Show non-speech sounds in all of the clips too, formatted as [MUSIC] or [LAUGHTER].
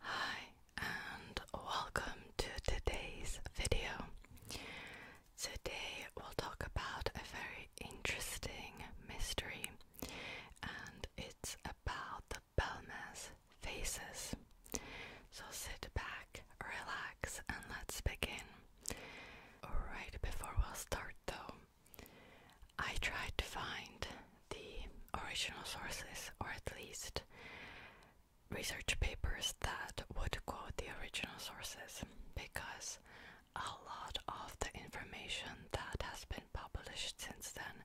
Hi and welcome to today's video. Today we'll talk about a very interesting mystery and it's about the Belmas faces. So sit back, relax and let's begin. Right before we start though, I tried to find the original sources, or at least research papers that would quote the original sources, because a lot of the information that has been published since then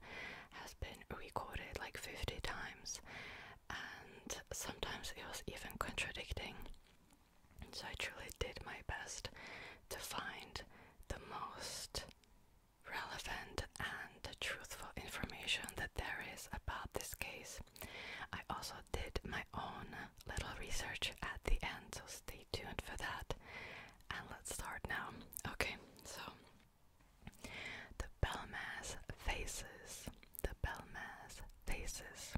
has been recorded like 50 times, and sometimes it was even contradicting. So I truly did my best to find the most relevant and truthful information that there is about this case. I also did my own little research at the end, so stay tuned for that. And let's start now. Okay, so the Belmas faces. The Belmas faces.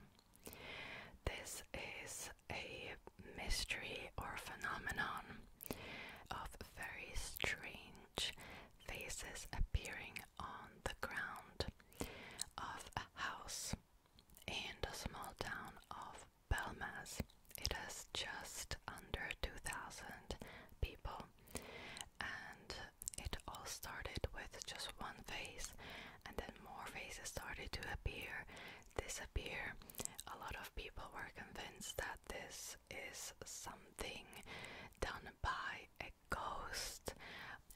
This is a mystery or phenomenon of very strange faces appearing on the ground of a house in the small town of Belmas. It has just under 2,000 people, and it all started with just one face, and then more faces started to appear, disappear. A lot of people were convinced that this is something done by a ghost,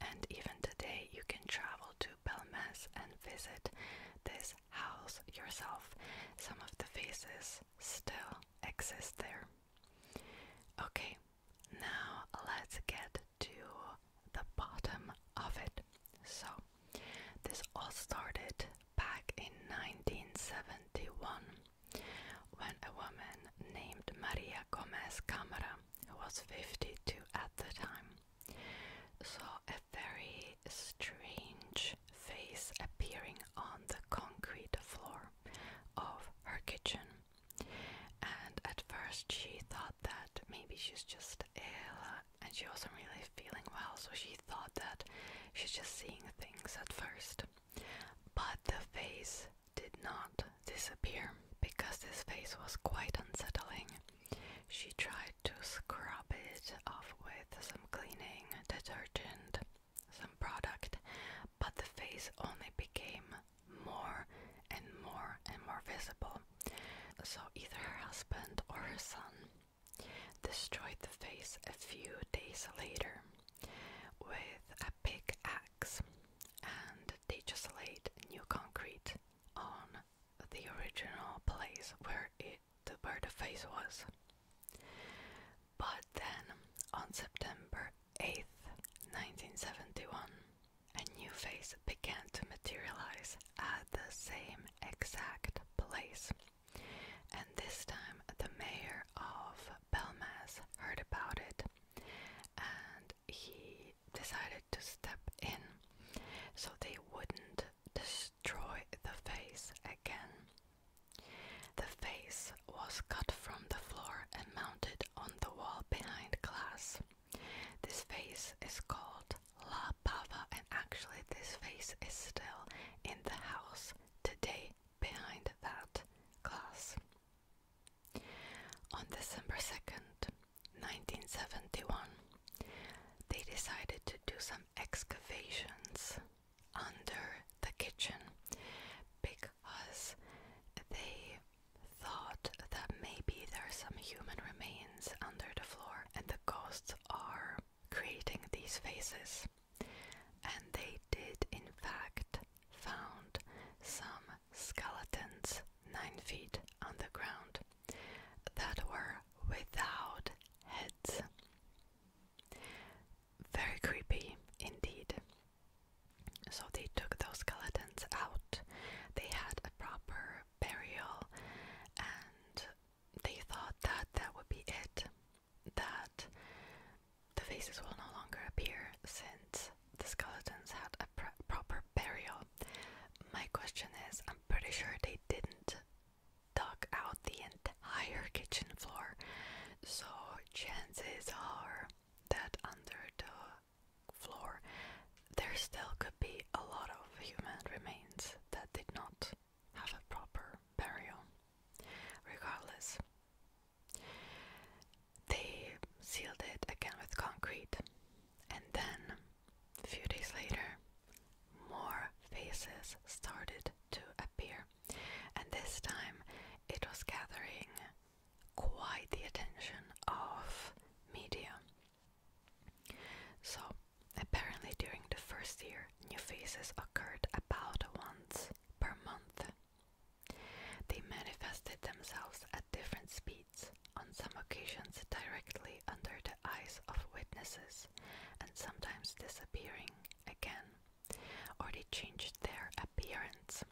and even today you can travel to Belmas and visit this house yourself. Some of the faces still exist there. Okay, now let's get to the bottom of it. So, this all started back in 1971 when a woman named Maria Gomez Camara, who was 52 at the time, saw a very strange face appearing on the concrete floor of her kitchen. And at first, she thought that maybe she's just ill uh, and she wasn't really feeling well, so she thought that she's just seeing things at first. But the face did not disappear because this face was quite unsettling. She tried to scrub it off with some cleaning detergent, some product, but the face only became more and more and more visible. So either her husband or her son destroyed the face a few days later with a big and they just laid new concrete on the original place where it where the face was. But then on September 8th, 1971, a new face began to materialize at the same exact place. And this time the mayor of Belmas heard about it and he decided to step in so they wouldn't destroy the face again. The face was cut from the floor and mounted on the wall behind glass. This face is called La Pava, and actually, this face is still in the house today behind that class. On December 2nd, 1971, they decided to do some excavations under the kitchen because they thought that maybe there are some human remains under the floor and the ghosts are creating these faces, and they did in fact found some skeletons nine feet underground that were without heads. Very creepy indeed. So they took those skeletons out. They had a proper burial and they thought that that would be it that the faces will no longer appear since the skeletons had a proper burial. My question is I'm pretty sure they didn't dug out the entire kitchen floor, so chances are that under the floor there still could be a lot of human remains that did not have a proper burial. Regardless, they sealed it again with concrete, and then a few days later, more faces started to appear, and this time it was gathering quite the attention of media. So, apparently, during the first year, new faces occurred about once per month. They manifested themselves at different speeds, on some occasions directly under the eyes of witnesses, and sometimes disappearing again, or they changed their appearance.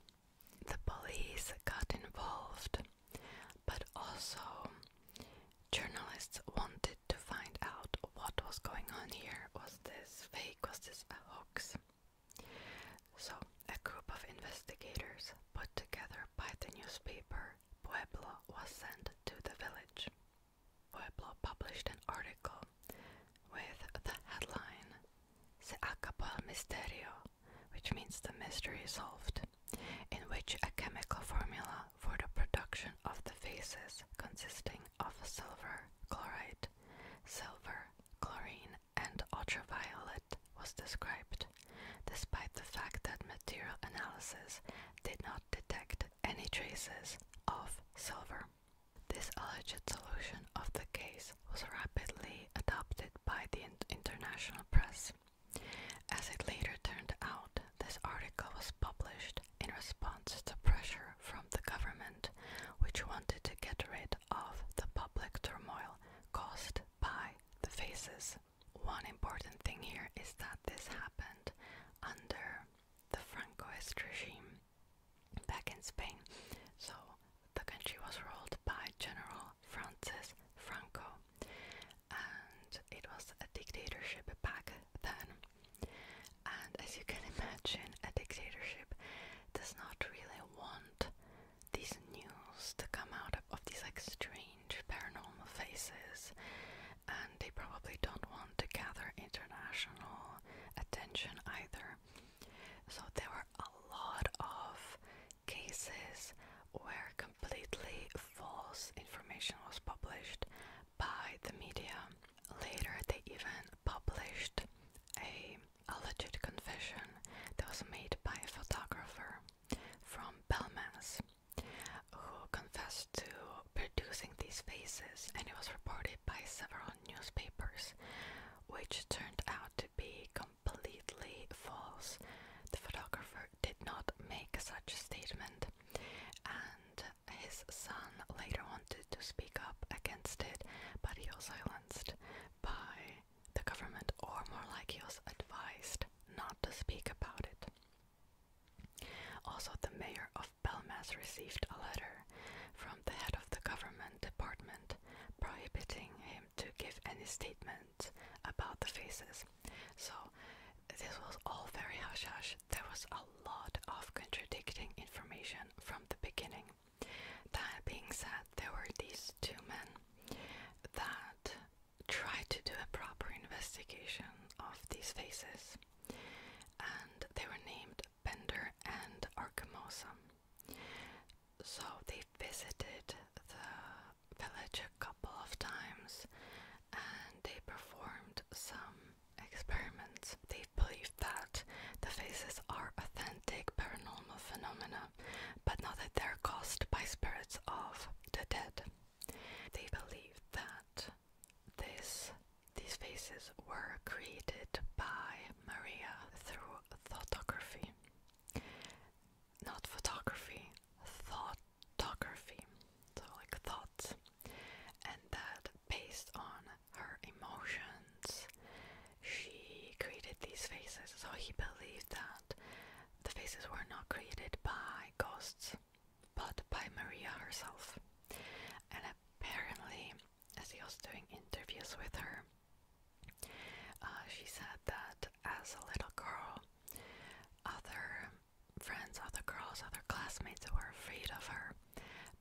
The police got involved, but also journalists wanted to find out what was going on here was this fake? Was this a hoax? So, a group of investigators put together by the newspaper Pueblo was sent to the village. Pueblo published an article with the headline Se acabó el misterio, which means the mystery is solved, in which a chemical formula for the production of the faces consisting of silver chloride silver, chlorine, and ultraviolet was described, despite the fact that material analysis did not detect any traces of silver. This alleged solution of the case was rapidly adopted by the international press. As it later turned out, this article was published in response to pressure from the government, which wanted to get rid of the public turmoil caused by the faces. One important thing here is that this happened under the Francoist regime back in Spain. So the country was ruled by General Francis Franco, and it was a dictatorship back then. And as you can imagine, a dictatorship does not really want these news to come out of these like strange paranormal faces, and they probably don't want to gather international attention either. So there were a lot of cases where completely false information was published by the media Later, they even published a alleged confession that was made by a photographer from Belmas who confessed to producing these faces, and it was reported by several newspapers, which turned out to be completely false. The photographer did not make such a statement, and his son later wanted to speak up against it, but he was silenced by the government, or more like he was advised not to speak about it. Also, the mayor of Belmas received a letter from the head of the government department prohibiting him to give any statement about the faces. So, this was all very hush hush, there was a lot of contradicting information from the beginning. That being said, there were these two men that tried to do a proper investigation of these faces, and they were named Bender and Arkamosa. So they visited the village a couple of times and they performed some experiments. They believe that the faces are authentic paranormal phenomena, but not that they're caused by spirits of the dead. They believe that this these faces were created by Maria through photography. Not photography, thoughtography. So like thoughts and that based on her emotions, she created these faces. So he believed that the faces were not created by ghosts, but by Maria herself. And apparently, as he was doing interviews with her, uh, she said that as a little girl, other friends, other girls, other classmates were afraid of her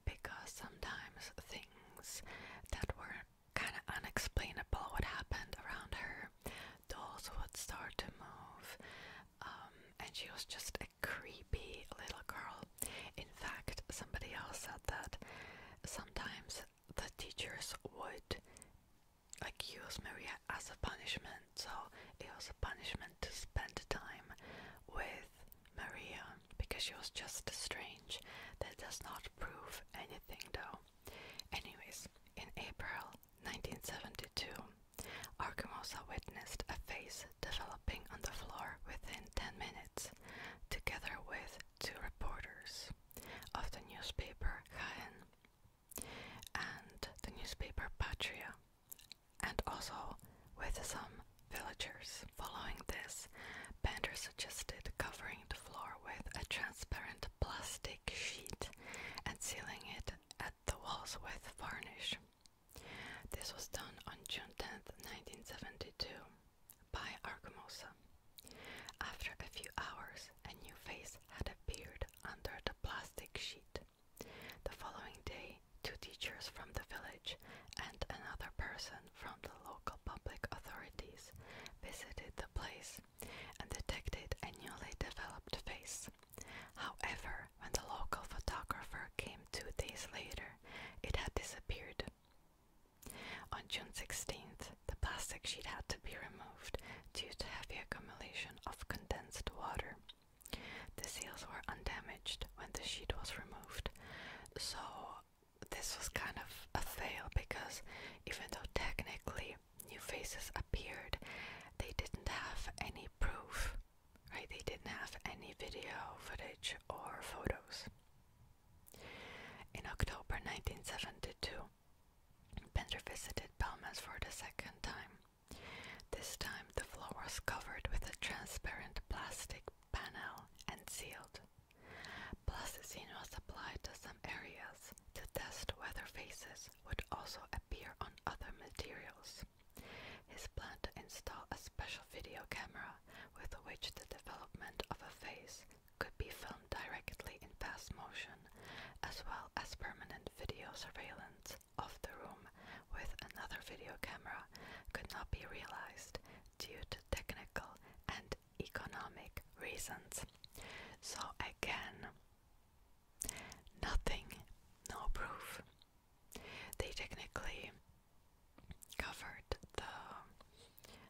because sometimes things that were kind of unexplainable would happen around her dolls would start to move um, and she was just a creepy little girl in fact somebody else said that sometimes the teachers would like use maria as a punishment so it was a punishment to spend time with Maria, because she was just strange. That does not prove anything though. Anyways, in April 1972, Arkamosa witnessed a face developing on the floor within 10 minutes, together with two reporters of the newspaper Jaén and the newspaper Patria and also with some villagers. Following this, Bender suggested covering the floor with a transparent plastic sheet and sealing it at the walls with varnish. This was done on June tenth, 1972, by Argumosa. After a few hours, a new face had appeared under the plastic sheet. The following day, two teachers from the village and another person from the local public authorities visited the place and detected a newly developed face. However, when the local photographer came two days later, it had disappeared. On June 16th, the plastic sheet had to be removed due to heavy accumulation of condensed water. The seals were undamaged when the sheet was removed, so this was kind of a fail because even though technically new faces appeared, they didn't have any proof, right? They didn't have any video footage or photos. In October 1972, Bender visited Palmas for the second time. This time, the floor was covered with a transparent plastic panel and sealed. Plasticine was applied to some areas to test whether faces would also appear on other materials. His plan to install a special video camera with which the development of a face could be filmed directly in fast motion, as well as permanent video surveillance of the room with another video camera could not be realized due to technical and economic reasons. So, again, nothing, no proof. They technically covered the,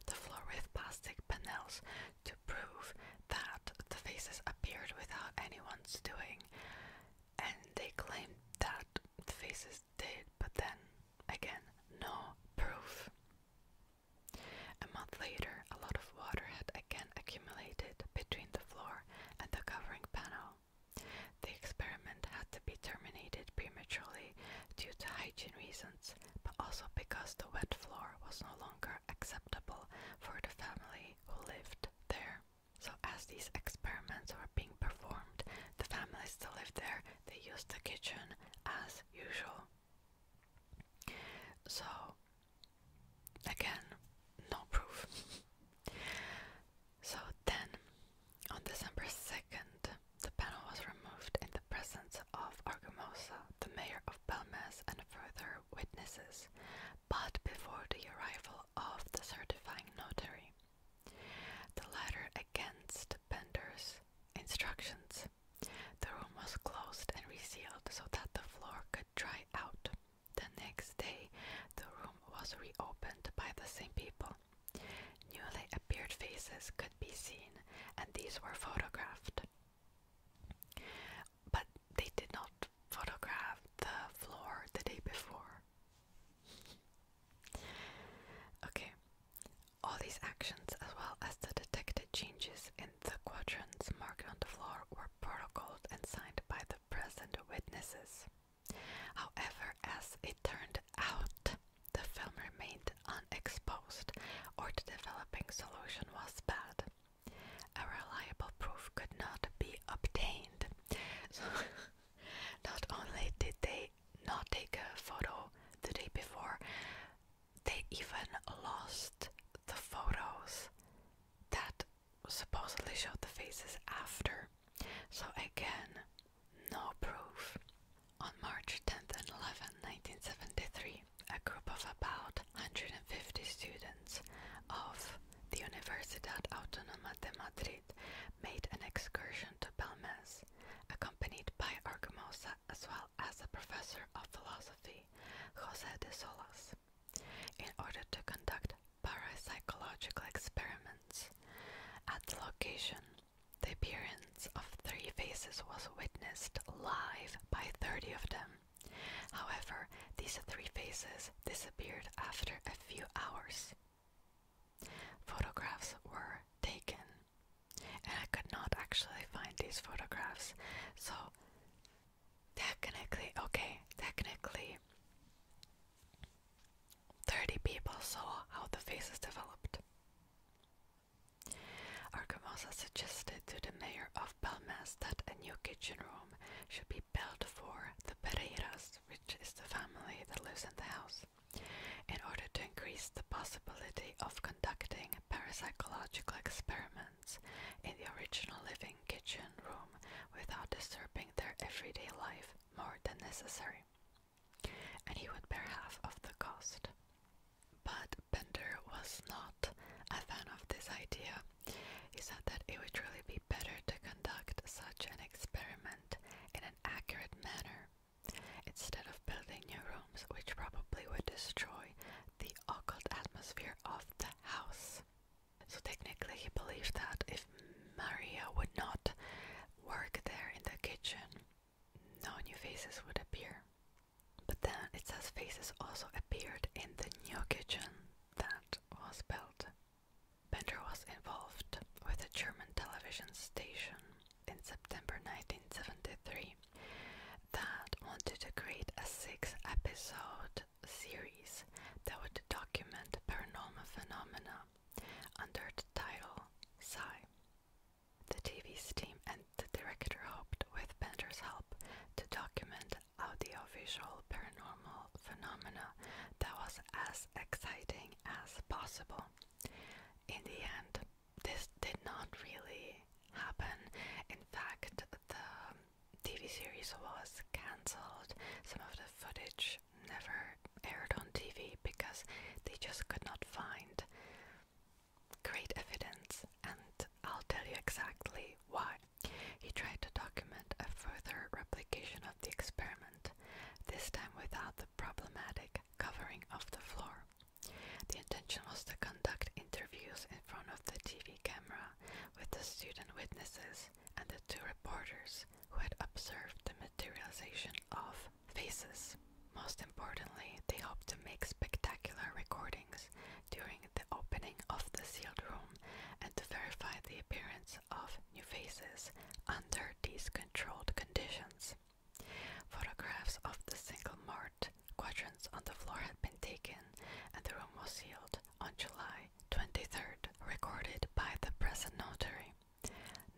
the floor with plastic panels to prove that the faces appeared without anyone's doing, and they claimed that the faces did, but then again, no proof. A month later, a lot of water had again accumulated between the floor and the covering panel. The experiment had to be terminated prematurely due to hygiene reasons, but also because the wet floor was no longer acceptable for the family who lived there. So, as these experiments were being performed, the families still lived there they used the kitchen as usual. So, again, no proof. so then, on December second, the panel was removed in the presence of Argumosa, the mayor of Belmes, and further witnesses, but before the arrival of the certifying notary the latter against Bender's instructions. The room was closed and resealed so that the floor could dry out. The next day, the room was reopened by the same people. Newly appeared faces could be seen, and these were photographed. But they did not photograph the floor the day before okay, all these actions, as well as the detected changes in the quadrants marked on the floor, were protocoled and signed by the present witnesses. However, as it turned out, the film remained unexposed, or the developing solution was bad. A reliable proof could not be obtained. [LAUGHS] Not only did they not take a photo the day before, they even lost the photos that supposedly showed the faces after. So, again, no proof. On March 10th and 11th, 1973, a group of about 150 students of the Universidad Autónoma de Madrid made an excursion to Belmez, accompanied by Argamosa as well as the professor of philosophy, Jose de Solas, in order to conduct parapsychological experiments. At the location, the appearance of three faces was witnessed live by 30 of them. However, these three faces disappeared after a few hours. Photographs were taken, and I could not actually find these photographs. So, technically, okay, technically, 30 people saw how the faces developed. Argamosa suggested to the mayor of Belmas that a new kitchen room should be built for the Pereiras, which is the family that lives in the house, in order to increase the possibility of conducting parapsychological experiments in the original living kitchen room without disturbing their everyday life more than necessary. And he would bear half of the cost. But Bender was not a fan of this idea. He said that it would really be better to conduct such an experiment in an accurate manner instead of building new rooms which probably would destroy the occult atmosphere of the house. So technically he believed that if Maria would not work there in the kitchen, no new faces would appear. But then it says faces also appeared in the new kitchen that was built. Bender was involved with a German television station in September 1973 that wanted to create a six episode series that would document paranormal phenomena under the title Psi. The TV's team and the director hoped, with Bender's help, to document audiovisual paranormal phenomena that was as exciting as possible. In the end, this did not really happen. In fact, the TV series was cancelled. Some of the footage never aired on TV because they just could not find great evidence, and I'll tell you exactly why. He tried to document a further replication of the experiment this time without the problematic covering of the floor. The intention was to conduct interviews in front of the TV camera with the student witnesses and the two reporters who had observed the materialization of faces. Most importantly, they hoped to make spectacular recordings during the opening of the sealed room and to verify the appearance of new faces under these controlled conditions. Photographs of the single mart quadrants on the floor had been taken, and the room was sealed on July 23rd, recorded by the present notary.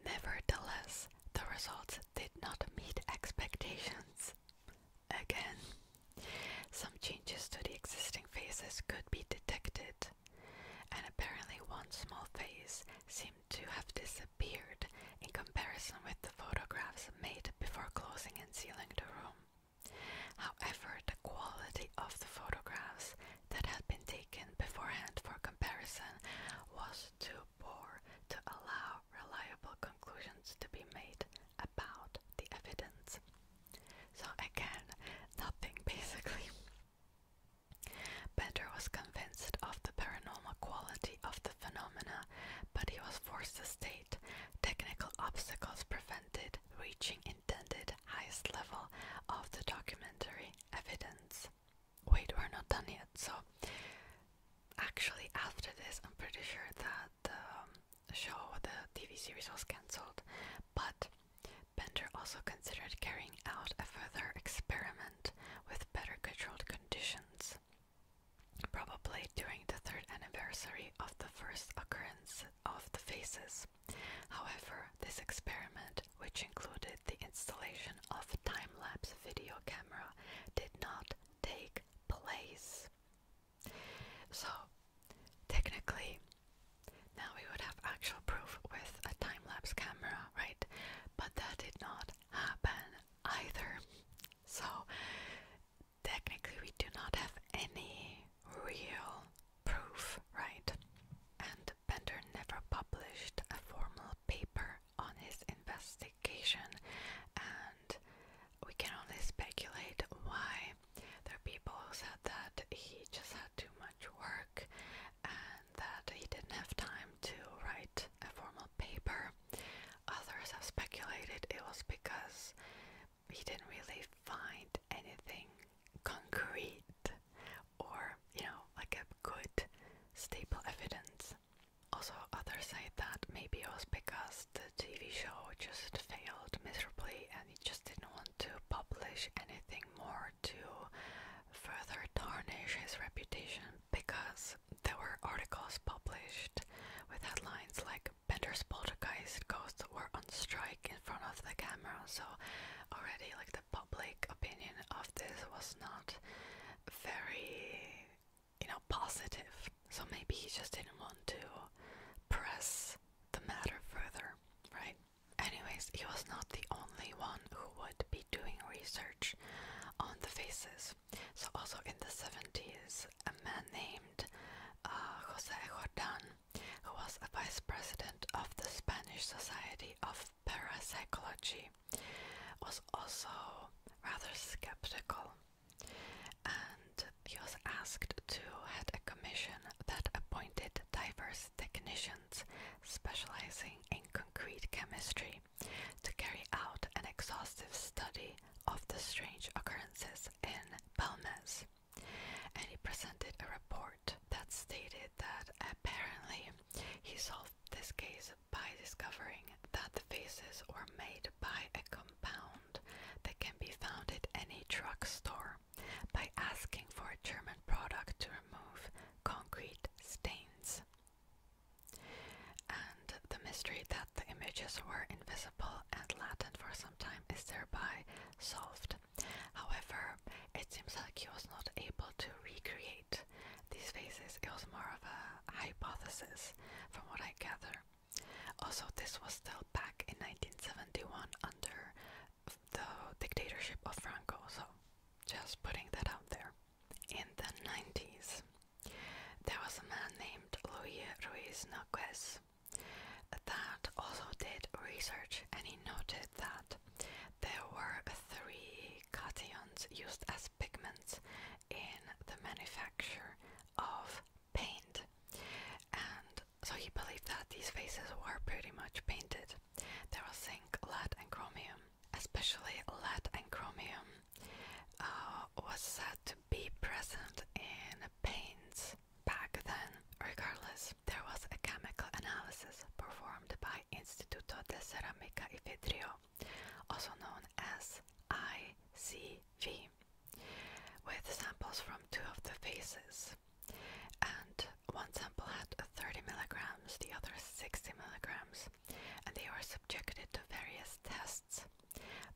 Nevertheless, the results did not meet expectations. Again, some changes to the existing faces could be detected, and apparently one small face seemed to have disappeared in comparison with the photographs made before closing and sealing the room. However, the quality of the photographs that had been taken beforehand for comparison was too poor to allow reliable conclusions to be made about the evidence. So, again, nothing basically. Bender was convinced of the paranormal quality of the phenomena, but he was forced to state technical obstacles prevented reaching intended highest level of the documentary evidence. Wait, we're not done yet. So, actually, after this, I'm pretty sure that the um, show, the TV series was cancelled, but Bender also considered carrying out a further experiment with better controlled conditions, probably during the third anniversary of the first occurrence of the phases. However, this experiment, which included the installation of a time lapse video camera, did not take place. So, Technically, now we would have actual proof with a time lapse camera, right? But that did not happen either. So, technically, we do not have any real proof, right? And Bender never published a formal paper on his investigation, and we can only speculate why there are people who said that he just had too much work and that he didn't have time to write a formal paper. Others have speculated it was because he didn't really find anything concrete or, you know, like a good stable evidence. Also, others say that maybe it was because the TV show just failed miserably and he just didn't want to publish anything more to further tarnish his reputation because there were articles published with headlines like Bender's poltergeist ghosts were on strike in front of the camera, so already like the public opinion of this was not very you know positive. So maybe he just didn't want to press the matter further, right? Anyways, he was not the only one who would be doing research on the faces. So, also in the 70s, a man named uh, Jose Jordan, who was a vice president of the Spanish Society of Parapsychology, was also rather skeptical and he was asked to head a commission that appointed divers technicians specializing in concrete chemistry to carry out an exhaustive study of the strange occurrences in Balmes. And he presented a report that stated that apparently he solved this case by discovering that the faces were made by a compound that can be found at any drugstore by asking for a German product to remove concrete stains. And the mystery that the images were invisible and latent for some time is thereby solved. However, it seems like he was not able to recreate these faces, it was more of a hypothesis from what I gather. Also, this was still back in 1971 under the dictatorship of Franco. So, just putting that out there. In the 90s, there was a man named Luis Ruiz Nogues that also did research and he noted that there were three cations used as pigments in the manufacture of paint and so he believed that these faces were pretty much painted. There was zinc, lead, and chromium. Especially lead and chromium uh, was said to be present in paints back then. Regardless, there was a chemical analysis performed by Instituto de Ceramica y Vidrio, also known as ICV, with samples from two of the faces. And one sample had 30 milligrams, the other 60 milligrams, and they were subjected to various tests.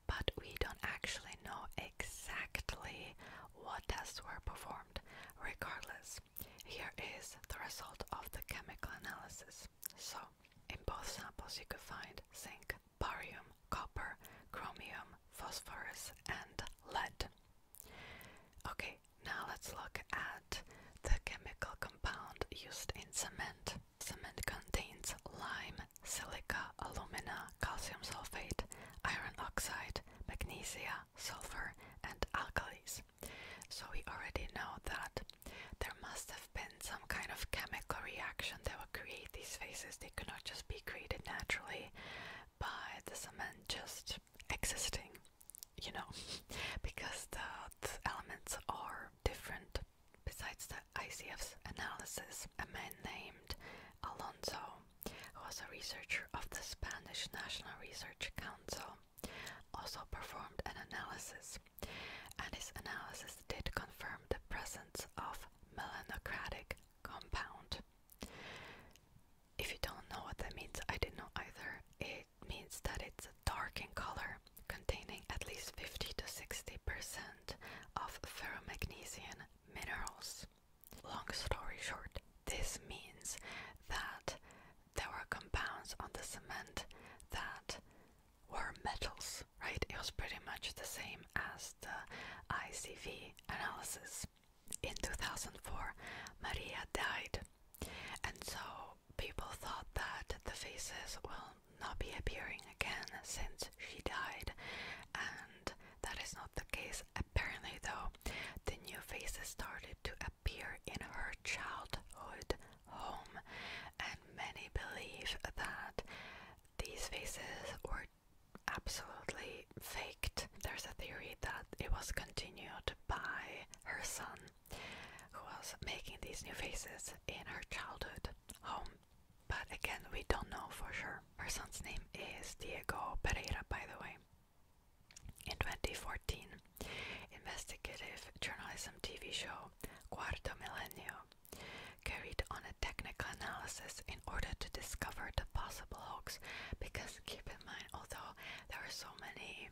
But we don't actually know exactly what tests were performed. Regardless, here is the result of the chemical analysis. So, in both samples, you could find zinc, barium, copper, chromium, phosphorus, and lead. Okay, now let's look at the chemical compound used in cement. Cement contains lime, silica, alumina, calcium sulfate, iron oxide, magnesia, sulfur, and alkalis. So we already know that there must have been some kind of chemical reaction that would create these phases. They could not just be created naturally by the cement just existing, you know, [LAUGHS] because the, elements are different. Besides the ICF's analysis, a man named Alonso, who was a researcher of the Spanish National Research Council, also performed an analysis, and his analysis did confirm the presence of melanocratic compound. If you don't know what that means, I didn't know either. It means that it's dark in color, containing at least 50 to 60% of ferromagnesian minerals. Long story short, this means that there were compounds on the cement that were metals, right? It was pretty much the same as the ICV analysis in 2004 Maria died, and so people thought that the faces will not be appearing again since she died, and that is not the case. Apparently, though, the new faces started to appear in her childhood home, and many believe that these faces were absolutely faked. There's a theory that it was continued by her son, who was making these new faces in her childhood home. But again, we don't know for sure. Her son's name is Diego Pereira, by the way. In 2014, investigative journalism TV show Cuarto Milenio carried on a technical analysis in order to discover the possible hoax because keep in mind, although there are so many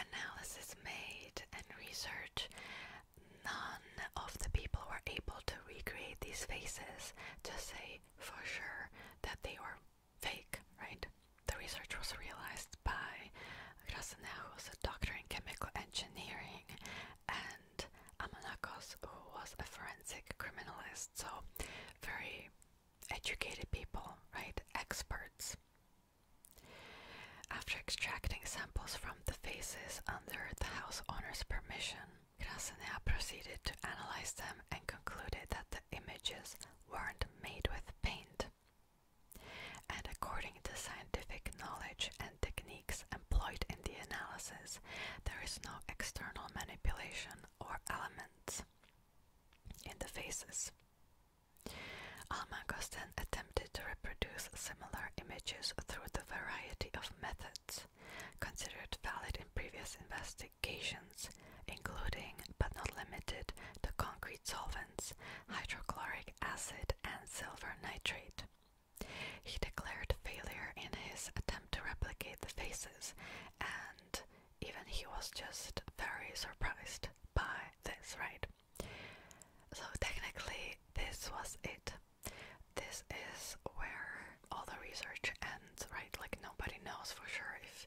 analysis made and research, none of the people were able to recreate these faces to say for sure that they were fake, right? The research was realized by Krasnow, who was a doctor in chemical engineering, and Amanakos, who was a forensic criminalist. So very educated people, right? Experts. After extracting samples from the faces under the house owner's permission, Krasnaya proceeded to analyze them and concluded that the images weren't made with paint. And according to scientific knowledge and techniques employed in the analysis, there is no external manipulation or elements in the faces. Almagos then attempted to reproduce similar images through the variety of methods considered valid in previous investigations, including but not limited to concrete solvents, hydrochloric acid, and silver nitrate. He declared failure in his attempt to replicate the faces even he was just very surprised by this, right? So, technically, this was it. This is where all the research ends, right? Like, nobody knows for sure if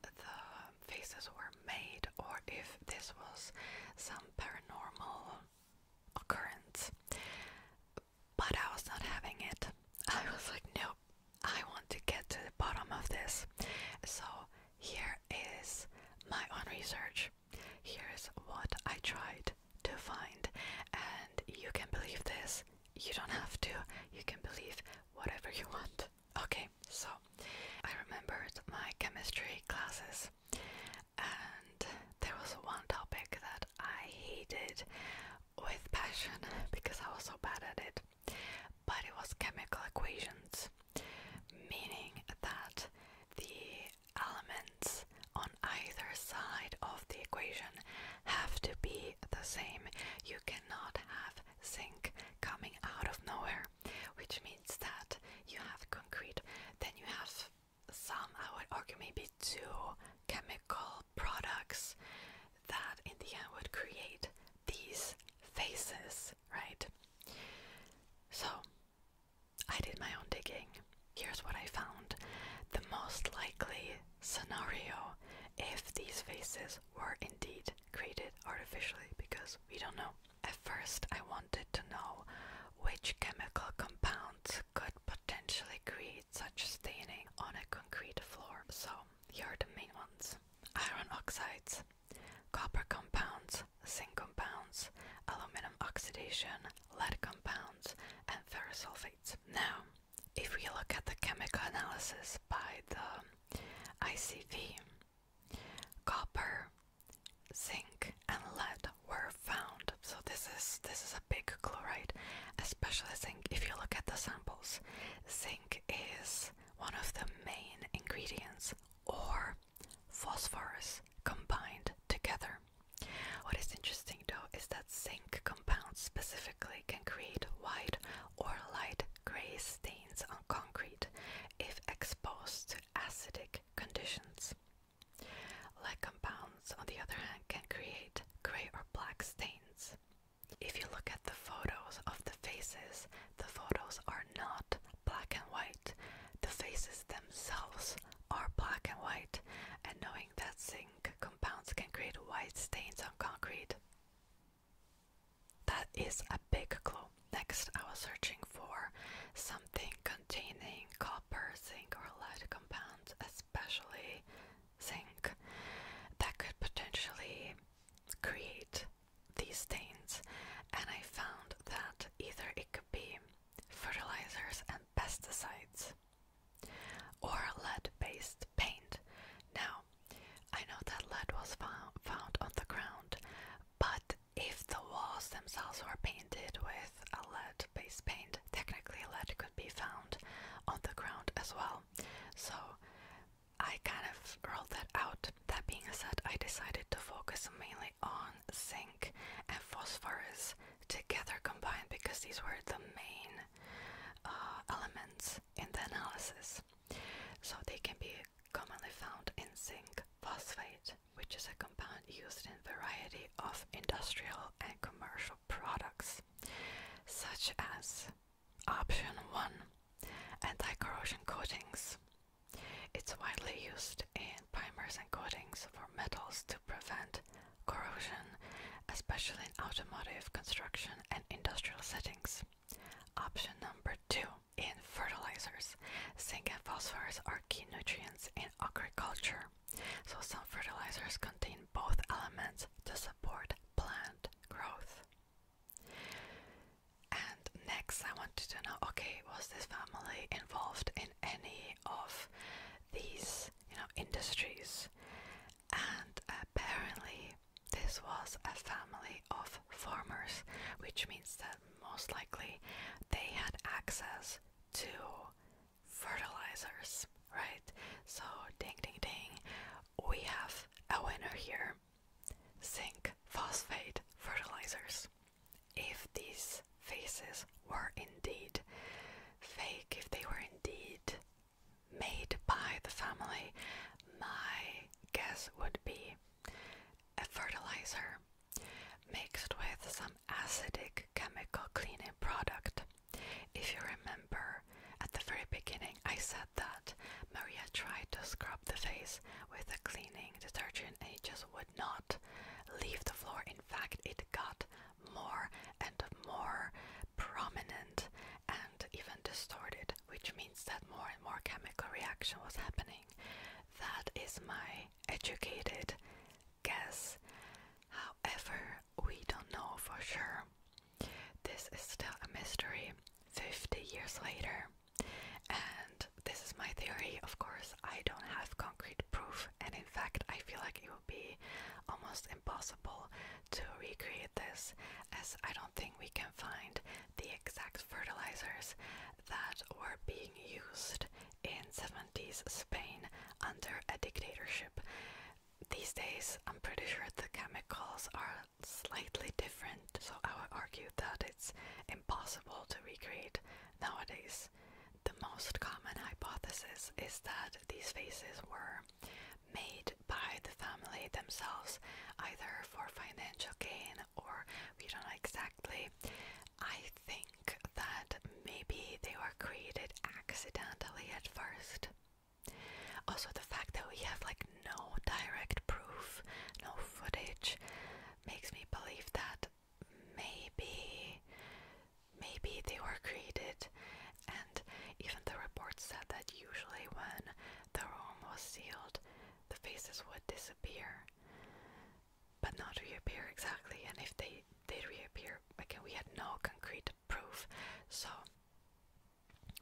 the faces were made or if this was some paranormal occurrence but I was not having it. I was like, nope, I want to get to the bottom of this. So, here is my own research. Here is what I tried to find, and you can believe this. You don't have to, you can believe whatever you want. Okay, so I remembered my chemistry classes, and there was one topic that I hated with passion because I was so bad at it. But it was chemical equations, meaning that the elements on either side of the equation have to be the same. You cannot have zinc coming out of nowhere, which means that you have concrete, then you have some, I would argue, maybe two chemical products that in the end would create these faces, right? So I did my own digging. Here's what I found. The most likely scenario if these faces were indeed created artificially, because we don't know. At first, I wanted to know which chemical compounds could potentially create such staining on a concrete floor. So, here are the main ones iron oxides, copper compounds, zinc compounds, aluminum oxidation, lead compounds, and ferrous sulfates. Now, if we look at the chemical analysis by the ICV, copper, zinc, and lead were found. So this is this is a big chloride, especially zinc. If you look at the samples, zinc is one of the main ingredients, or phosphorus combined together. What is interesting though is that zinc compounds specifically can create white or light gray stains on concrete if exposed to acidic conditions. Lead compounds, on the other hand, can create gray or black stains if you look at the photos of the faces, the photos are not black and white. The faces themselves are black and white, and knowing that zinc compounds can create white stains on concrete. That is a big clue. Next, I was searching for something containing copper, zinc, or lead compounds as especially zinc, that could potentially create these stains. And I found that either it could be fertilizers and pesticides or lead based paint. Now, I know that lead was found, found on the ground, but if the walls themselves were painted with a lead based paint, technically lead could be found on the ground as well. So I kind of rolled that out. That being said, I decided to focus mainly on zinc and phosphorus together combined because these were the main uh, elements in the analysis. So they can be commonly found in zinc phosphate, which is a compound used in variety of industrial and commercial products such as option 1 anti-corrosion coatings it's widely used in primers and coatings for metals to prevent corrosion especially in automotive construction and industrial settings option number 2 in fertilizers zinc and phosphorus are key nutrients in agriculture so some fertilizers contain both elements to support plant growth. And next, I wanted to know okay, was this family involved in any of these you know, industries? And apparently, this was a family of farmers, which means that most likely they had access to fertilizers, right? So, ding ding ding, we have a winner here zinc phosphate fertilizers. If these faces were indeed fake, if they were indeed made by the family, my guess would be a fertilizer mixed with some acidic chemical cleaning product. If you remember, at the very beginning I said that Maria tried to scrub the face with a cleaning detergent and it just would not leave the floor. In fact, it got more and more prominent and even distorted, which means that more and more chemical reaction was happening. That is my educated guess. However, we don't know for sure. This is still a mystery 50 years later. And this is my theory, of course, I don't have concrete proof, and in fact, I feel like it would be almost impossible to recreate this, as I don't think we can find the exact fertilizers that were being used in 70s Spain under a dictatorship these days, I'm pretty sure the chemicals are slightly different, so I would argue that it's impossible to recreate nowadays. The most common hypothesis is that these faces were made by the family themselves, either for financial gain or we don't know exactly. I think that maybe they were created accidentally at first. Also, the fact that we have like no direct proof, no footage, makes me believe that maybe, maybe they were created. And even the report said that usually when the room was sealed, the faces would disappear, but not reappear exactly. And if they did reappear, again, we had no concrete proof, so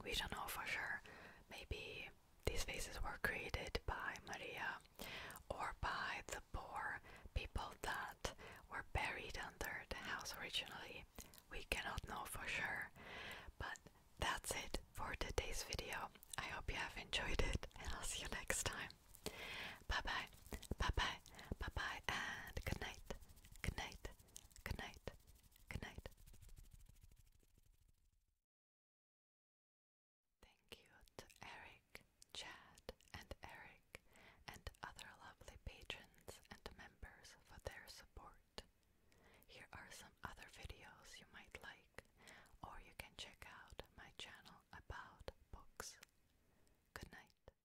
we don't know for sure. Maybe these faces were created by Maria or by the poor people that were buried under the house originally. We cannot know for sure, but that's it for today's video. I hope you have enjoyed it, and I'll see you next time. Bye bye, bye bye, bye bye, and good night. Good night. Good night. Good night. Thank you to Eric, Chad, and Eric, and other lovely patrons and members for their support. Here are some other videos you might like, or you can check out my channel about books. Good night.